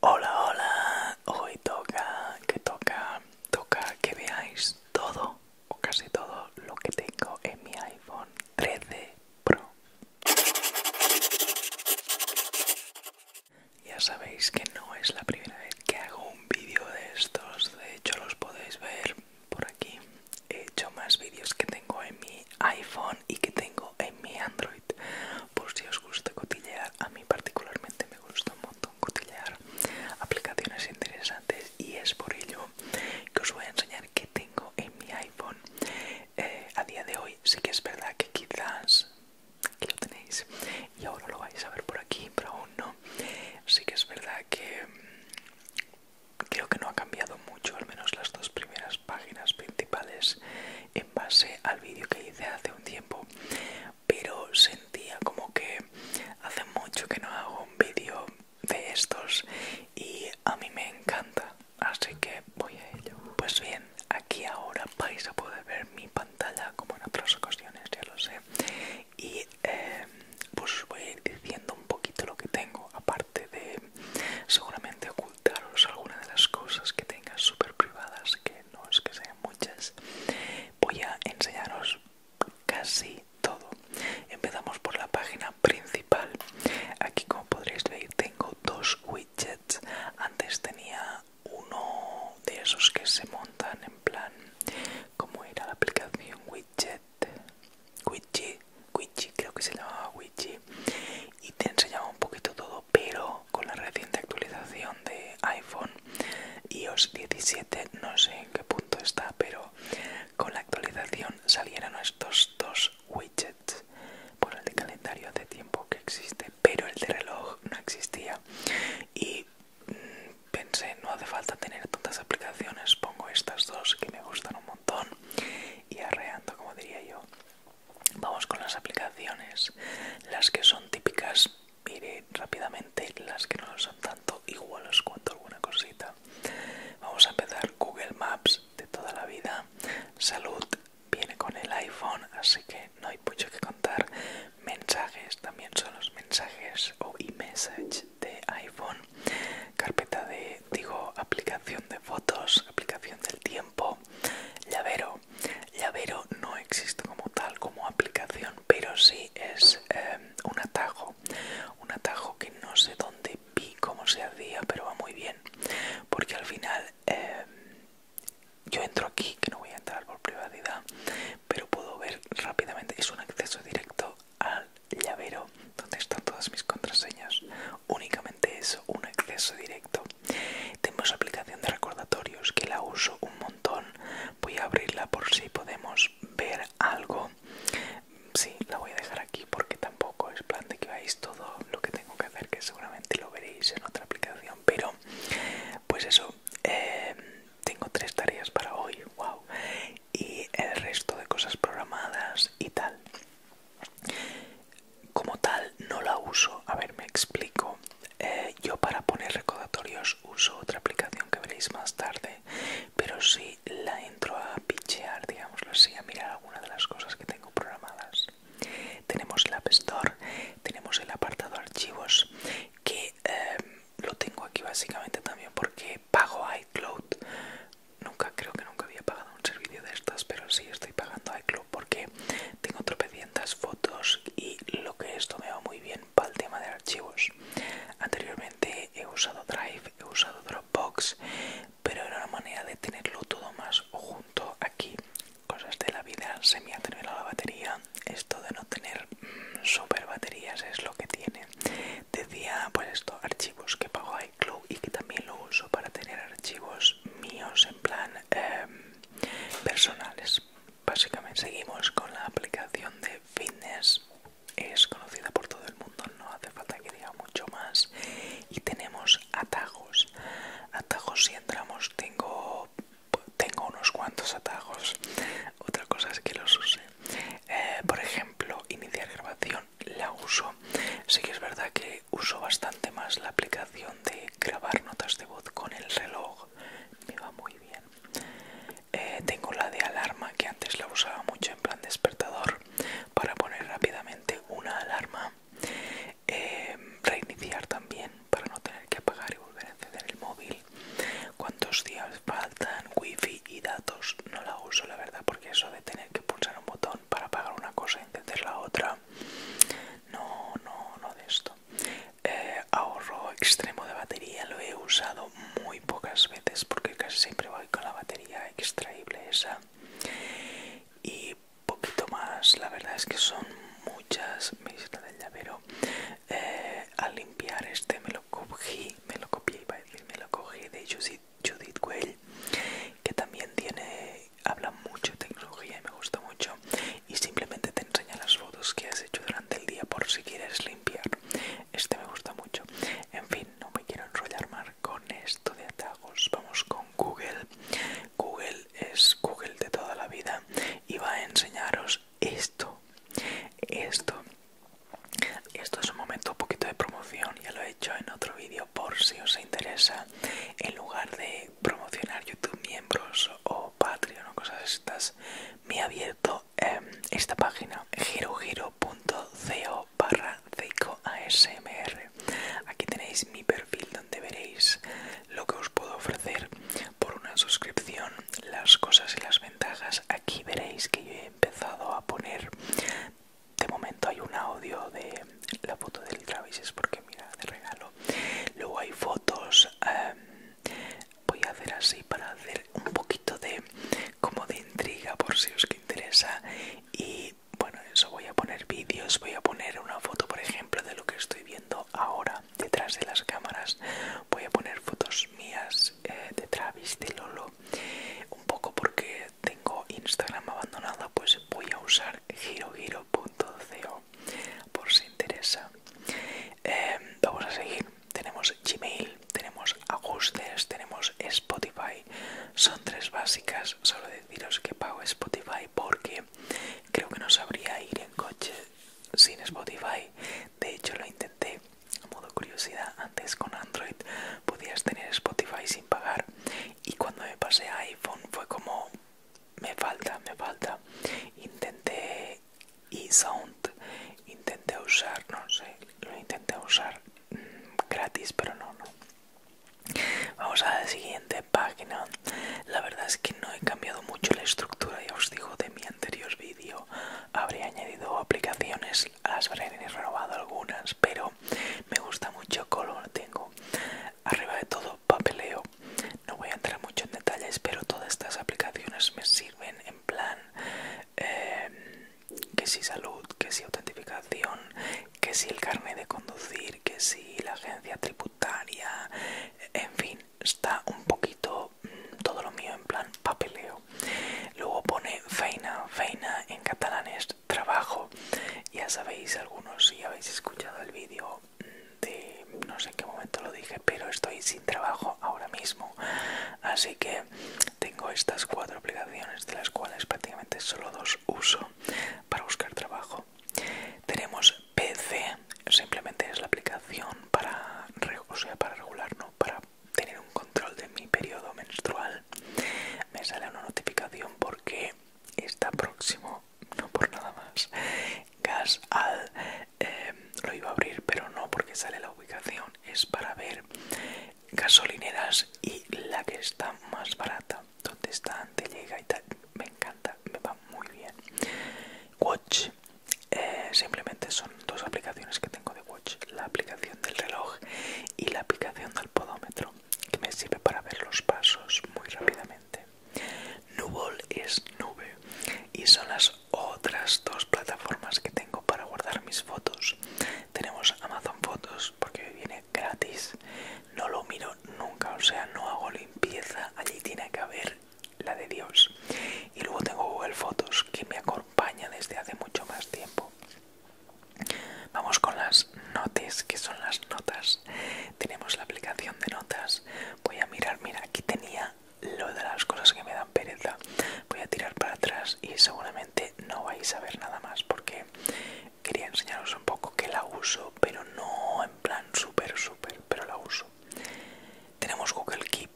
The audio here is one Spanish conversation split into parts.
Hola, hola, hoy toca, que toca, toca que veáis todo o casi todo lo que tengo en mi iPhone 13 Pro. Ya sabéis que no es la primera vez que hago un vídeo de estos, de hecho los podéis ver por aquí. He hecho más vídeos que tengo en mi iPhone y que tengo en mi Android por si os gusta cotillear. A mí particularmente me gusta un montón cotillear aplicaciones interesantes y es por ello que os voy a enseñar qué tengo en mi iPhone. Eh, a día de hoy sí que es verdad que quizás aquí lo tenéis y ahora lo vais a ver por aquí, pero aún no. Sí que es verdad que mm, creo que no ha cambiado mucho, al menos las dos primeras páginas principales en base al vídeo que hice hace un tiempo pero sentía como que hace mucho que no hago un vídeo de estos y a mí me encanta así que voy a ello pues bien aquí ahora vais a poder ver mi pantalla como en otras ocasiones ya lo sé y eh, pues voy a ir diciendo un poquito lo que tengo aparte de seguramente ocultaros algunas de las cosas que tenga súper privadas que no es que sean muchas, voy a enseñaros casi todo. Empezamos por la página principal. Aquí como podréis ver tengo dos widgets. Antes tenía uno de esos que se montan en plan, como era la aplicación widget, widget, widget creo que se llamaba widget y te enseñaba un poquito todo, pero con la reciente actualización de iPhone iOS 17, no sé en qué punto está, pero con la actualización salieron estos dos widgets. Por el de calendario hace tiempo que existe, pero el de reloj no existía. Y mm, pensé, no hace falta tener tantas aplicaciones, pongo estas dos que me gustan un montón y arreando, como diría yo. Vamos con las aplicaciones. Las que son típicas, mire rápidamente, las que no son tanto, iguales cuanto alguna cosita. Vamos a empezar Google Maps de toda la vida. Salud viene con el iPhone, así que no hay mucho que contar. Mensajes también son los mensajes o e-message de iPhone. Carpeta de, digo, aplicación de fotos, aplicación del tiempo. Llavero Llavero no existe como tal, como aplicación, pero sí es eh, un atajo. Un atajo que no sé dónde vi cómo se hacía, pero va muy bien. Porque al final eh, yo entro aquí, que no voy a entrar por privacidad, pero puedo ver rápidamente. Es un acceso directo al llavero donde están todas mis contraseñas. Únicamente es un acceso directo. Tengo su aplicación de recordatorios que la uso un montón. Voy a abrirla por si podemos ver algo. Sí, la voy a dejar aquí porque tampoco es plan de que veáis todo lo que tengo que hacer, que seguramente lo veréis en otra aplicación. Pero, pues eso, eh, tengo tres tareas para hoy, wow, y el resto de cosas programadas y tal. Como tal, no la uso. A ver, me explico. Eh, yo para poner recordatorios uso otra aplicación que veréis más tarde, pero sí la entro a pichear, digámoslo así, a mirar alguna de las cosas que tengo programadas. Tenemos el App Store, tenemos el apartado archivos, que em, lo tengo aquí básicamente también porque pago iCloud. Nunca, creo que nunca había pagado un servicio de estas, pero sí estoy pagando iCloud porque tengo tropecientas fotos y lo que esto me va muy bien para el tema de archivos. Anteriormente he usado Drive, he usado Dropbox, pero era una manera de tenerlo todo más junto aquí. Cosas de la vida, se me ha terminado la batería. Esto de no tener mm, super baterías es lo que tiene. Decía, pues esto, archivos que pago a iCloud y que también lo uso para tener archivos míos en plan em, personales básicamente seguimos con la aplicación de fitness es conocida por todo el mundo no hace falta que diga mucho más y tenemos atajos atajos si entramos tengo tengo unos cuantos atajos otra cosa es que los use eh, por ejemplo iniciar grabación la uso sí que es verdad que uso bastante más la aplicación de grabar notas de voz con el reloj me va muy bien. Eh, tengo la de alarma que antes la usaba mucho en plan despertador para poner rápidamente una alarma. Eh, reiniciar también para no tener que apagar y volver a encender el móvil. ¿Cuántos días faltan? Wifi y datos. No la uso la verdad porque eso de tener que pulsar un botón para apagar una cosa y encender la otra. No, no, no de esto. Eh, ahorro extremo de batería lo he usado muy pocas veces porque casi siempre voy con la batería extraíble esa y poquito más la verdad es que son muchas me del llavero eh, al limpiar este me lo cogí me lo copié iba a decir me lo cogí de Judith, Judith Well que también tiene habla mucho de tecnología y me gusta mucho y simplemente te enseña las fotos que has hecho durante el día por si quieres limpiar. Este me gusta mucho. En fin, no me quiero enrollar más con esto de atajos. Vamos con Google. Google es Google de toda la vida y va a enseñaros esto. Esto. Esto es un momento un poquito de promoción, ya lo he hecho en otro vídeo por si os interesa. En lugar de promocionar YouTube miembros o Patreon o cosas estas, me he abierto em, esta página girogiro.co barra ASMR. Aquí tenéis mi perfil donde veréis lo que os puedo ofrecer por una suscripción, las cosas y las ventajas. Aquí veréis que yo he empezado a poner, de momento hay un audio de la foto del Travis, es porque mira, de regalo. Luego hay fotos. Em, voy a hacer así para hacer un poquito de como de intriga por si os que interesa y bueno eso voy a poner vídeos voy a poner una foto por ejemplo de lo que estoy viendo ahora detrás de las cámaras voy a poner fotos mías eh, de Travis de Lolo un poco porque tengo Instagram abandonado pues voy a usar girogiro.co por si interesa Em, vamos a seguir. Tenemos Gmail, tenemos ajustes, tenemos Spotify. Son tres básicas. Solo deciros que pago Spotify porque creo que no sabría ir en coche sin Spotify. De hecho, lo intenté. A modo curiosidad, antes con Android podías tener Spotify sin pagar. Y cuando me pasé a iPhone fue como me falta, me falta. Intenté y Sound intenté usar, no sé, lo intenté usar mm, gratis, pero no, no. Vamos a la siguiente página. La verdad es que no he cambiado mucho la estructura, ya os digo, de mi anterior vídeo. habría añadido aplicaciones, las habré renovado algunas, pero me gusta mucho Color. Tengo arriba de todo papeleo no voy a entrar mucho en detalles, pero todas estas aplicaciones me sirven en plan em, que si salud, que si autentificación, que si el carnet de conducir, que si la agencia tributaria, en fin, está un poquito mm, todo lo mío en plan papeleo. Luego pone feina, feina en catalán es trabajo. Ya sabéis algunos si habéis escuchado el vídeo de no sé en qué momento lo dije, pero estoy sin trabajo ahora mismo. Así que tengo estas cuatro aplicaciones de las cuales prácticamente solo dos uso para buscar trabajo. Tenemos PC, simplemente es la aplicación para, para regular, no para tener un control de mi periodo menstrual. Me sale una notificación porque está próximo no por nada más. Gas al. Em, lo iba a abrir, pero no porque sale la ubicación. Es para ver gasolineras y la que está más barata. Donde está antes llega y tal. Me encanta, me va muy bien. Watch. Eh, simplemente son dos aplicaciones que tengo de Watch. La aplicación del reloj y la aplicación del podómetro que me sirve para ver los pasos muy rápidamente. Nubol es nube y son las otras dos plataformas que tengo para guardar mis fotos. Tenemos Amazon Fotos porque viene gratis, no lo miro nunca, o sea, no hago limpieza, allí tiene que haber la de Dios. Y luego tengo Google Fotos que me acompaña desde hace mucho más tiempo. Vamos con las notes, que son las notas. Tenemos la aplicación de notas. Voy a mirar, mira, aquí tenía lo de las cosas que me dan pereza voy a tirar para atrás y seguramente no vais a ver nada más porque quería enseñaros un poco que la uso pero no en plan súper súper pero la uso tenemos Google Keep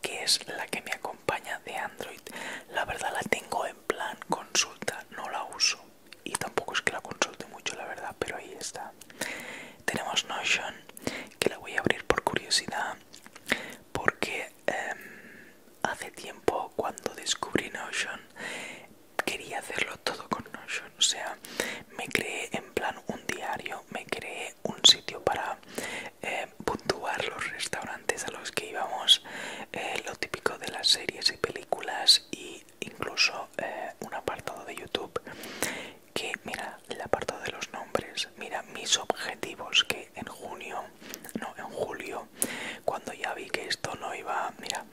que es la que me acompaña de Android la verdad la tengo en plan consulta no la uso y tampoco es que la consulte mucho la verdad pero ahí está tenemos Notion que la voy a abrir por curiosidad porque em, hace tiempo cuando descubrí Notion quería hacerlo todo con Notion o sea me creé en plan un diario me creé un sitio para em, puntuar los restaurantes a los que íbamos eh, lo típico de las series y películas e incluso eh, un apartado de YouTube que mira el apartado de los nombres, mira mis objetivos que en junio, no, en julio, cuando ya vi que esto no iba, mira,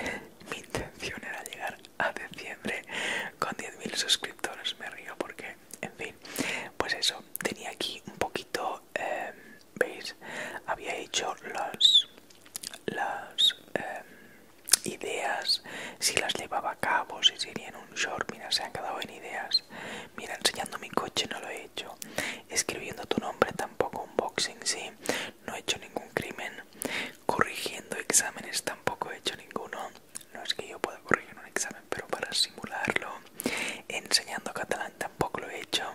mi intención era llegar a diciembre con 10.000 suscriptores, me río porque, en fin, pues eso, tenía aquí un poquito, em, veis, había hecho las, las, em, ideas, si las llevaba a cabo, si sería en un short, mira, se han quedado en ideas. Mira, enseñando mi coche no lo he hecho. Escribiendo tu nombre tampoco un boxing, sí. No he hecho ningún crimen. Corrigiendo exámenes tampoco he hecho ninguno. No es que yo pueda corregir un examen, pero para simularlo. Enseñando catalán tampoco lo he hecho.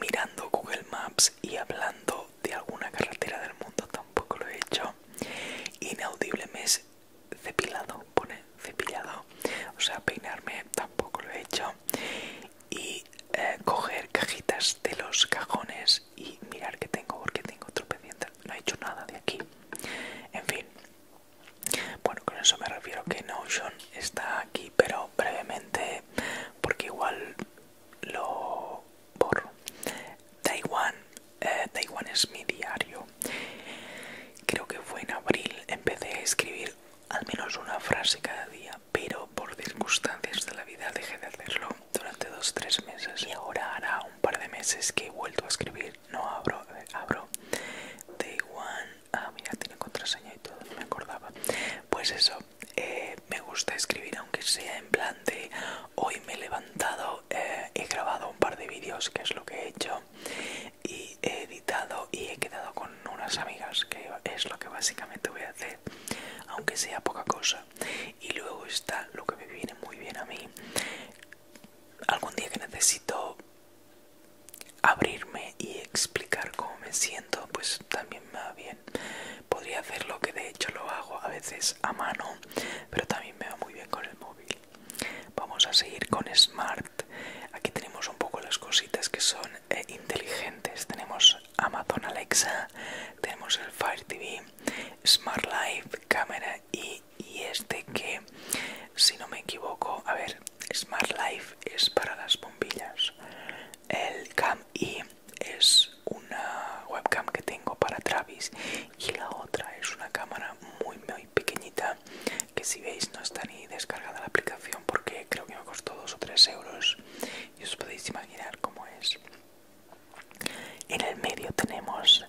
Mirando Google Maps y hablando de alguna carretera del mundo tampoco lo he hecho. Inaudible mes cepillado, pone cepillado, o sea, peinarme tampoco lo he hecho y eh, coger cajitas de los cajones y mirar que tengo porque tengo pendiente, no he hecho nada de aquí, en fin. Bueno, con eso me refiero que Notion está aquí, pero brevemente, porque igual lo borro. Taiwan eh, es mi diario. Creo que fue en abril, empecé a escribir al menos una frase cada día, pero por circunstancias de la vida dejé de hacerlo durante dos tres meses y ahora hará un par de meses que he vuelto a escribir. No abro, eh, abro. Taiwan. ah mira, tiene contraseña y todo, me acordaba. Pues eso, eh, me gusta escribir aunque sea en plan de hoy me levanto eh, he grabado un par de vídeos, que es lo que he hecho, y he editado y he quedado con unas amigas, que es lo que básicamente voy a hacer, aunque sea poca cosa. Y luego está lo que me viene muy bien a mí. Algún día que necesito abrirme y explicar cómo me siento, pues también me va bien. Podría hacer lo que de hecho lo hago a veces a mano, pero también me va muy bien con el móvil. Vamos a seguir con Smart. Aquí tenemos un poco las cositas que son eh, inteligentes. Tenemos Amazon Alexa, tenemos el Fire TV, Smart Life, cámara y, este que, si no me equivoco, a ver, Smart Life es para las bombillas. El Cam I es una webcam que tengo para Travis y la otra es una cámara muy muy pequeñita que si veis no está ni descargada la aplicación porque creo que me costó 2 o 3 euros y os podéis imaginar cómo es en el medio tenemos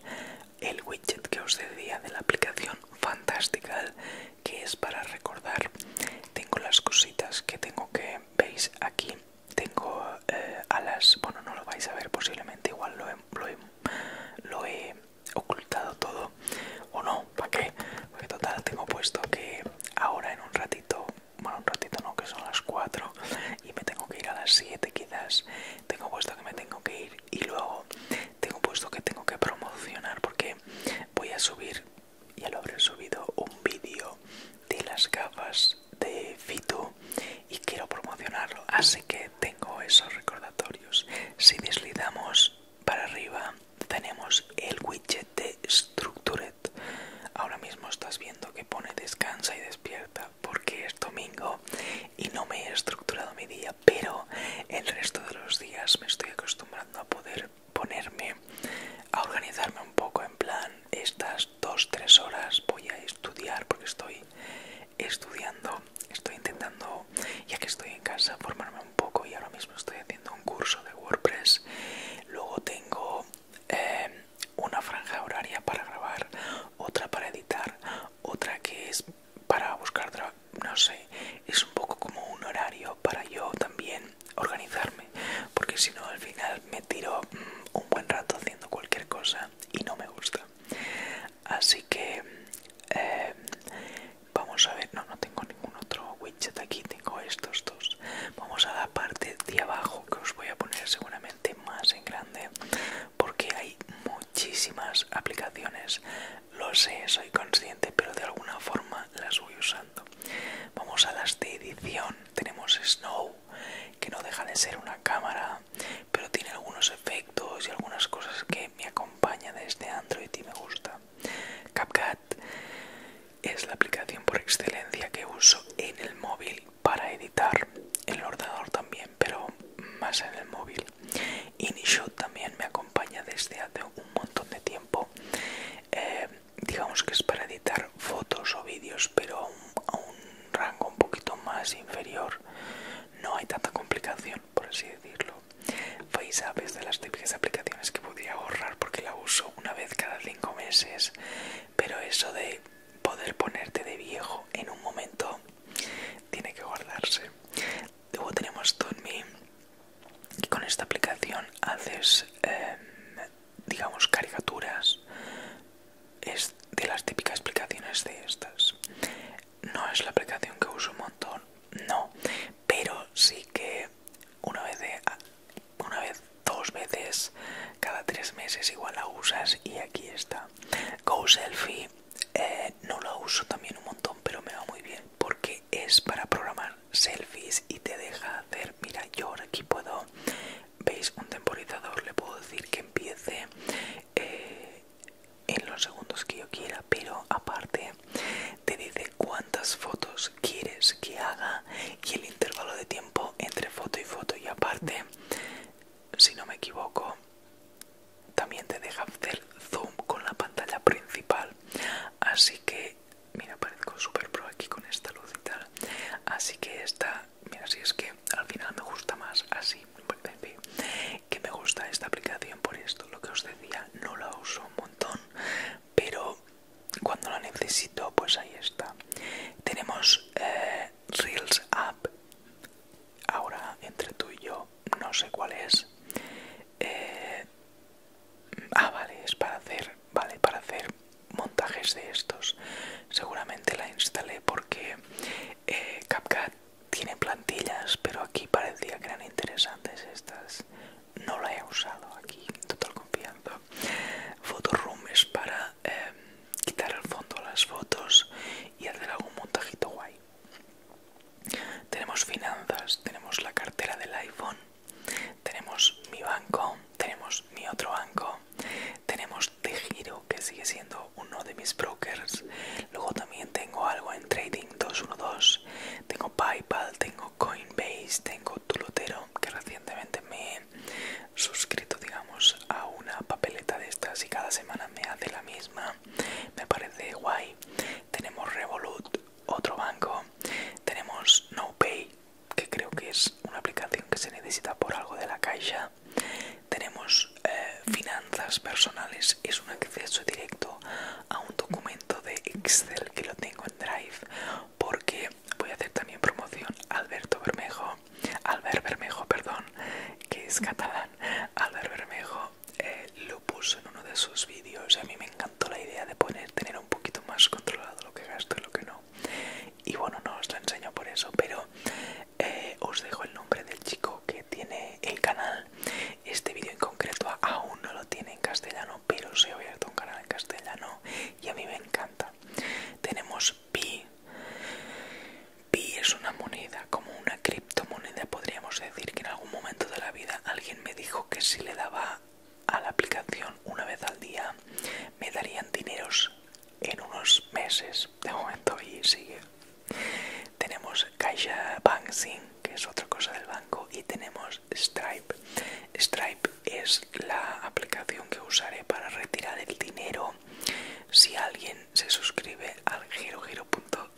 el widget que os decía de la aplicación fantástica que es para recordar tengo las cositas que tengo que veis aquí tengo eh, alas bueno no lo vais a ver posiblemente igual lo lo he lo he ocultado todo o no, ¿para qué? Porque total tengo puesto que ahora en un ratito, bueno un ratito no, que son las 4 y me tengo que ir a las 7 quizás, tengo puesto que me tengo que ir y luego tengo puesto que tengo que promocionar porque voy a subir, ya lo habré subido, un vídeo de las gafas de Fitu y quiero promocionarlo, así que tengo esos recordatorios. Si deslizamos para arriba, tenemos el widget de Structured. Ahora mismo estás viendo que pone descansa y despierta porque es domingo y no me he estructurado mi día, pero el resto de los días me estoy acostumbrando a poder ponerme a organizarme un poco en plan estas dos tres horas voy a estudiar porque estoy estudiando estoy intentando, ya que estoy en casa, formarme un poco y ahora mismo estoy haciendo un curso de WordPress. Luego tengo eh, una franja horaria para grabar, otra para editar, otra que es para buscar trabajo, no sé, es un poco como un horario para yo también organizarme, porque si no al final me tiro mm, un buen rato haciendo cualquier cosa y no me gusta así que eh, vamos a ver no no tengo ningún otro widget aquí tengo estos dos vamos a la parte de abajo que os voy a poner seguramente más en grande porque hay muchísimas aplicaciones lo sé soy consciente pero de alguna forma las voy usando vamos a las de edición tenemos snow que no deja de ser una cámara pero tiene algunos efectos y algunas cosas que me acompaña desde este Android y me gusta. CapCut es la aplicación por excelencia que uso en el móvil para editar, en el ordenador también, pero más en el móvil. InShot también me acompaña desde hace un montón de tiempo. Eh, digamos que es para editar fotos o vídeos, pero a un rango un poquito más inferior. No hay tanta complicación por así decirlo. FaceApp es de las típicas aplicaciones que podría ahorrar porque la uso una vez cada cinco meses, pero eso de poder ponerte de viejo en un momento tiene que guardarse. Luego tenemos ToonMe, que con esta aplicación haces, em, digamos, caricaturas. Es de las típicas aplicaciones de estas no es la aplicación que uso un montón, no, pero sí que una vez, una vez, dos veces cada tres meses igual la usas y aquí está. Go Selfie eh, no la uso también un montón, pero me va muy bien porque es para programar selfies y te deja hacer, mira, yo aquí puedo, veis, un temporizador, le puedo decir que empiece. Eh, en los segundos que yo quiera, pero aparte te dice cuántas fotos quieres que haga y el intervalo de tiempo entre foto y foto. Y aparte, si no me equivoco, también te deja hacer zoom con la pantalla principal. Así que, mira, parezco super pro aquí con esta luz y tal. Así que esta, mira, si es que al final me gusta más así. En que me gusta esta aplicación por esto. Lo que os decía, no la uso un montón, pero cuando la necesito, pues ahí está. Tenemos eh, Reels App. Ahora, entre tú y yo, no sé cuál es. Eh, ah, vale, es para hacer, vale, para hacer montajes de estos. Seguramente la instalé porque eh, CapCut tiene plantillas, pero aquí parecía que eran interesantes estas. No la he usado aquí, total confianza. Photoroom es para em, quitar el fondo las fotos y hacer algún montajito guay. Tenemos finanzas, tenemos la cartera del iPhone, tenemos mi banco, tenemos mi otro banco, tenemos de que sigue siendo uno de mis brokers luego también tengo algo en trading 212 tengo paypal tengo coinbase tengo tulotero que recientemente me he suscrito digamos a una papeleta de estas y cada semana me hace la misma me parece guay tenemos revolut otro banco tenemos nopay que creo que es una aplicación que se necesita por algo de la caixa tenemos eh, finanzas personales es un acceso directo a un documento de Excel que lo tengo en Drive porque voy a hacer también promoción Alberto Bermejo Albert Bermejo perdón que es catalán Albert Bermejo eh, lo puso en uno de sus vídeos a mí me encantó la idea de poner tener un poquito más controlado lo que gasto y lo que no y bueno no os lo enseño por eso pero eh, os dejo el nombre del chico que tiene el canal. Este vídeo en concreto aún no lo tiene en castellano, pero se ha abierto un canal en castellano y a mí me encanta. Tenemos Pi. Pi es una moneda, como una criptomoneda, podríamos decir que en algún momento de la vida alguien me dijo que si le daba a la aplicación una vez al día me darían dineros en unos meses de momento y sigue tenemos CaixaBank Banking que es otra cosa del banco, y tenemos Stripe. Stripe es la aplicación que usaré para retirar el dinero si alguien se suscribe al girogiro.co.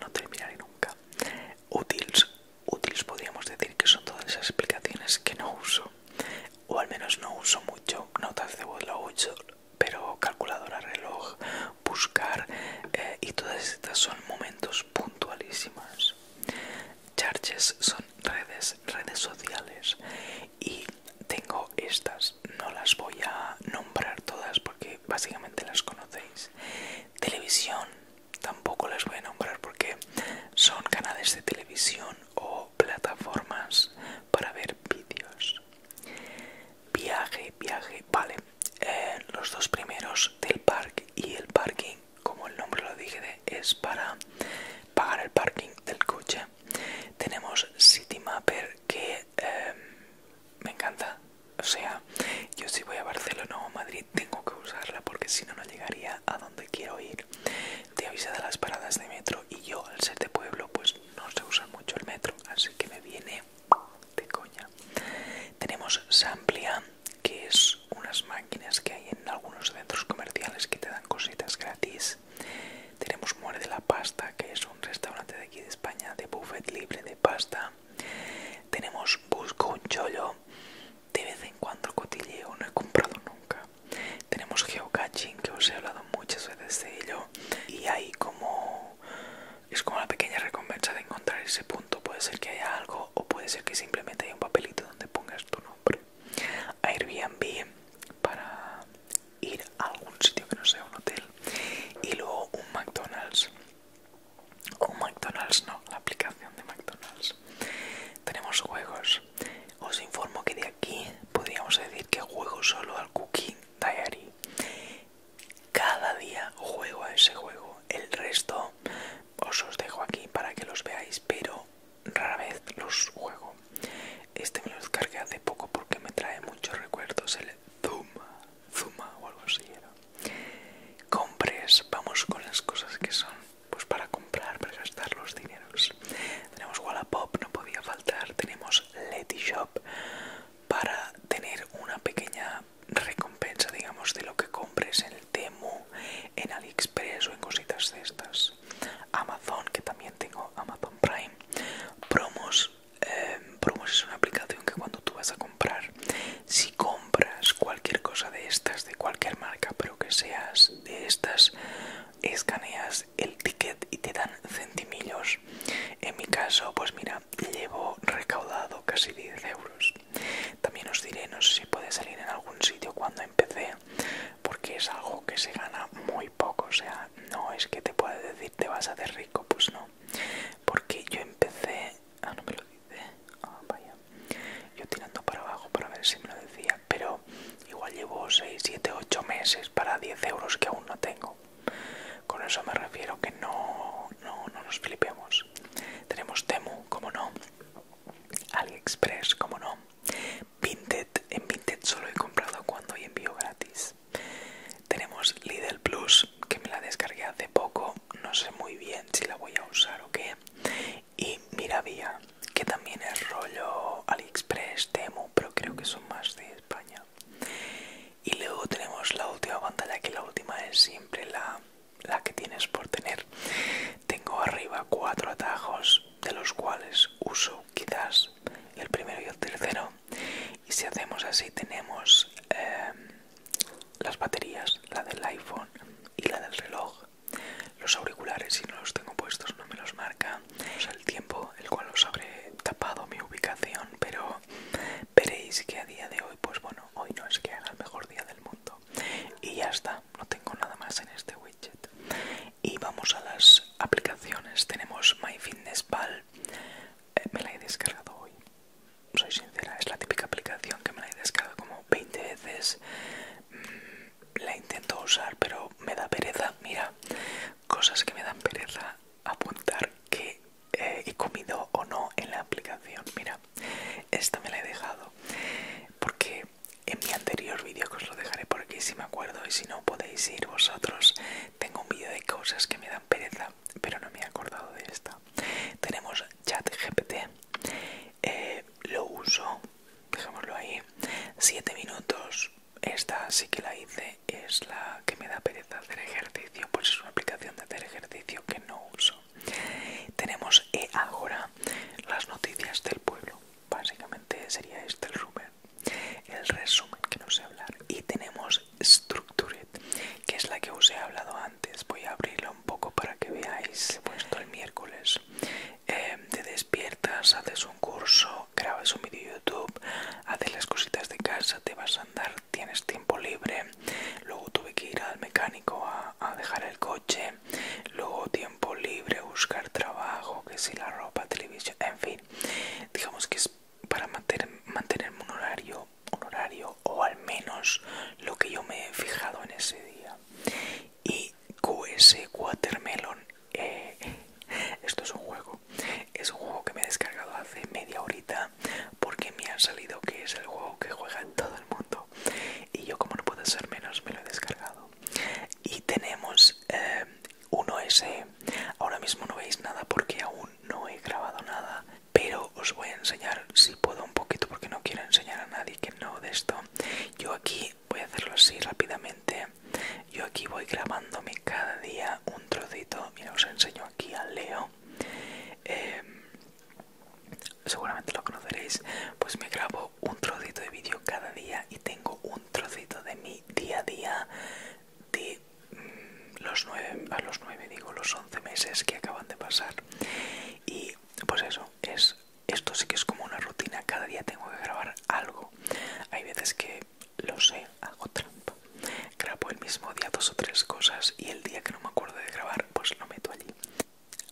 No terminaré nunca. útiles útiles podríamos decir que son todas esas aplicaciones que no uso. O al menos no uso mucho. Notas de voz lo pero calculadora, reloj, buscar eh, y todas estas son momentos puntualísimas Charges son redes, redes sociales y tengo estas, no las voy a nombrar todas porque básicamente las conocéis. Televisión, tampoco las voy a nombrar porque son canales de televisión o plataformas para ver vídeos. Viaje, viaje, vale. Eh, los dos primeros del parque y el parking, como el nombre lo dije, es para pagar el parking del coche. Tenemos CityMapper que em, me encanta. O sea, yo si voy a Barcelona o Madrid tengo que usarla porque si no, no llegaría a donde quiero ir. Te avisa de las paradas de metro y yo, al ser de pueblo, pues no se usa mucho el metro, así que me viene de coña. Tenemos Samplia, que es unas máquinas que hay en algunos centros comerciales que te dan cositas gratis. Tenemos Muere de la Pasta, que es un restaurante de aquí de España de buffet libre de pasta. Tenemos Busco un Chollo, de vez en cuando cotilleo, no he comprado nunca. Tenemos Geocaching, que os he hablado muchas veces de ello, y hay como es como la pequeña recompensa de encontrar ese punto. Puede ser que haya algo o puede ser que simplemente haya un papelito donde pongas tu nombre. Airbnb para ir a algún sitio que no sea un hotel. Y luego un McDonald's. O un McDonald's, no, la aplicación de McDonald's. Tenemos juegos. Os informo que de aquí podríamos decir que juego solo al Cooking Diary. Cada día juego a ese juego. El resto os os dejo aquí para que los veáis, pero rara vez los juego. Este me lo descargué hace poco porque me trae muchos recuerdos. El Zuma, Zuma o algo así era. Compres, vamos con las cosas que son pues para comprar, para gastar los dineros. Tenemos Wallapop, no podía faltar. Tenemos Letty Shop, para tener una pequeña recompensa digamos de lo que compres en el Temu en AliExpress o en cositas de estas Amazon que también tengo Amazon Prime promos em, promos es una aplicación que cuando tú vas a comprar si compras cualquier cosa de estas de cualquier marca pero que seas de estas escaneas el ticket y te dan centimillos. En mi caso, pues mira, llevo recaudado casi 10 euros. También os diré, no sé si puede salir en algún sitio cuando empecé, porque es algo que se gana muy poco. O sea, no es que te pueda decir te vas a hacer rico, pues no. Porque yo empecé. Ah, no me lo dice. Ah, vaya. Yo tirando para abajo para ver si me lo decía, pero igual llevo 6, 7, 8 meses para 10 euros que aún no tengo. Con eso me refiero que no, no, nos flipemos. Tenemos Temu, como no. AliExpress, como no. Vinted, en Vinted solo he comprado cuando hay envío gratis. Tenemos Lidl Plus, que me la descargué hace poco. No sé muy bien si la voy a usar o qué. Y Miravía, que también es rollo AliExpress, Temu, pero creo que son más de España y luego tenemos la última pantalla que la última es siempre la, que tienes por tener tengo arriba cuatro atajos de los cuales uso quizás el primero y el tercero y si hacemos así tenemos em, las baterías la del iphone y la del reloj los auriculares si no los tengo puestos no me los marca o el tiempo el cual los habré tapado mi ubicación pero veréis que a día de hoy, pues bueno, hoy no es que haga el mejor día del mundo. Y ya está, no tengo nada más en este widget. Y vamos a las aplicaciones. Tenemos MyFitnessPal, Pal. Eh, me la he descargado hoy. Soy sincera, es la típica aplicación que me la he descargado como 20 veces. Mm, la intento usar, pero me da pereza. Mira, cosas que me dan pereza apuntar que eh, he comido o no en la aplicación. Mira, esta me la he dejado porque en mi anterior vídeo que os lo dejaré por aquí si me acuerdo y si no podéis ir vosotros. Tengo un vídeo de cosas que me dan pereza, pero no me he acordado de esta. Tenemos ChatGPT, GPT, eh, lo uso, dejémoslo ahí, 7 minutos esta sí que la hice, es la que me da pereza hacer ejercicio, pues es una aplicación de hacer ejercicio que no uso. Tenemos eh, ahora las noticias del pueblo, básicamente sería este el resumen, el resumen que no sé hablar. Y tenemos Structured, que es la que os he hablado antes, voy a abrirla un poco para que veáis, he puesto el miércoles. Em, te despiertas, haces un curso, grabas un vídeo YouTube, haces las cositas de casa, te vas a andar, tienes tiempo libre. Luego tuve que ir al mecánico a, dejar el coche. Luego tiempo libre, buscar trabajo, que si la ropa, televisión, en fin. Digamos que es para mantener, un horario, un horario o al menos lo que yo me he fijado en ese día. Y QS Watermelon, eh, esto es un juego. Es un juego que me he descargado hace media horita porque me ha salido que es el juego que juega todo el mundo. Y yo como no puedo ser menos me lo he descargado. Y tenemos un eh, uno Ahora mismo no veis nada porque aún no he grabado nada. Pero os voy a enseñar si puedo un poquito porque no quiero enseñar a nadie que no de esto. Yo aquí voy a hacerlo así rápidamente. Yo aquí voy grabándome cada día un trocito. Mira, os enseño aquí al Leo. Em, seguramente lo conoceréis. Pues me grabo un trocito de vídeo cada día y tengo un trocito de mi día a día de mm, los nueve, a los nueve digo, los once meses que acaban de pasar. Y pues eso, es esto sí que es como una rutina. Cada día tengo que grabar algo. Hay veces que lo sé, hago trampa. Grabo el mismo día dos o tres cosas y el día que no me acuerdo de grabar, pues lo meto allí.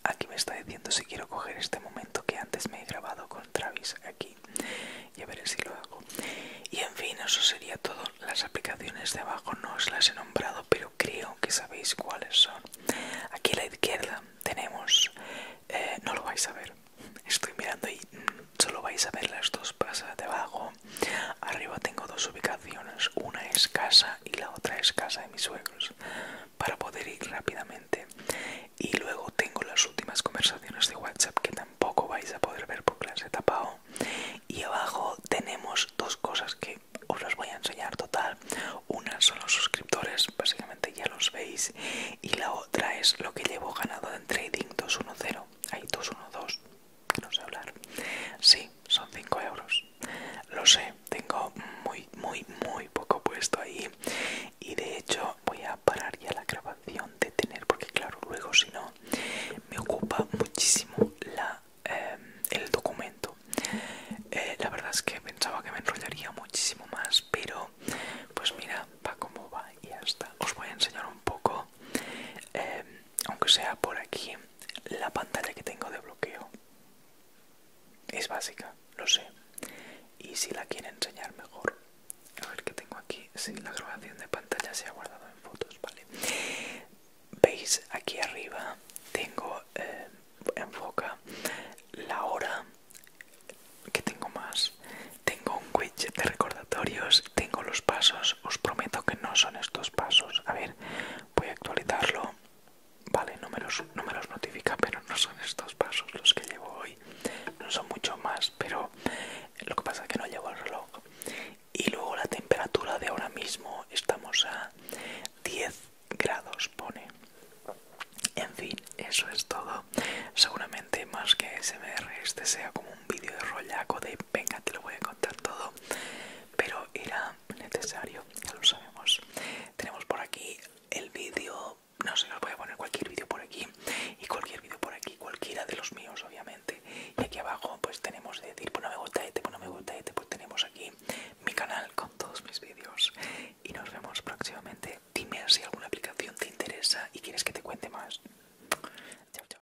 Aquí me está diciendo si quiero coger este momento que antes me he grabado con Travis aquí. Y a ver si lo hago. Y en fin, eso sería todo. Las aplicaciones de abajo no os las he nombrado, pero creo que sabéis cuáles son. Aquí a la izquierda tenemos... Eh, no lo vais a ver. Estoy mirando y mm, solo vais a ver las dos pasas de abajo Arriba tengo dos ubicaciones, una es casa y la otra es casa de mis suegros, para poder ir rápidamente. Y luego tengo las últimas conversaciones de WhatsApp que tampoco vais a poder ver porque las he tapado. Y abajo tenemos dos cosas que os las voy a enseñar total. Una son los suscriptores, básicamente ya los veis. Y la otra es lo que llevo ganado en Trading 210. Hay 212 no sé hablar. Sí, son 5 euros. Lo sé, tengo muy, muy, muy poco puesto ahí. Y de hecho voy a parar ya la grabación de tener, porque claro, luego si no, me ocupa muchísimo la, eh, el documento. Eh, la verdad es que pensaba que me enrollaría muchísimo más, pero pues mira, va como va y hasta Os voy a enseñar un poco. Eh, aunque sea por aquí, la pantalla que tengo de bloqueo es básica, lo sé. Y si la quiere enseñar mejor, a ver qué tengo aquí. Si la grabación de pantalla se ha guardado en fotos, vale. Veis aquí arriba tengo eh, enfoca la hora que tengo más. Tengo un widget de recordatorio tengo los pasos, os prometo que no son estos pasos. A ver, voy a actualizarlo. Vale, no me, los, notifica, pero no son estos pasos los que llevo hoy. No son mucho más, pero lo que pasa es que no llevo el reloj. Y luego la temperatura de ahora mismo estamos a 10 grados, pone. En fin, eso es todo. Seguramente más que SMR este sea como un vídeo de rollaco de venga, te lo voy a contar todo, pero era necesario, ya lo sabemos. Tenemos por aquí el vídeo, no sé, os voy a poner cualquier vídeo por aquí y cualquier vídeo por aquí, cualquiera de los míos, obviamente. Y aquí abajo, pues tenemos de decir, pues no me gusta este, pues no me gusta este, pues tenemos aquí mi canal con todos mis vídeos. Y nos vemos próximamente. Dime si alguna aplicación te interesa y quieres que te cuente más. Chao, chao.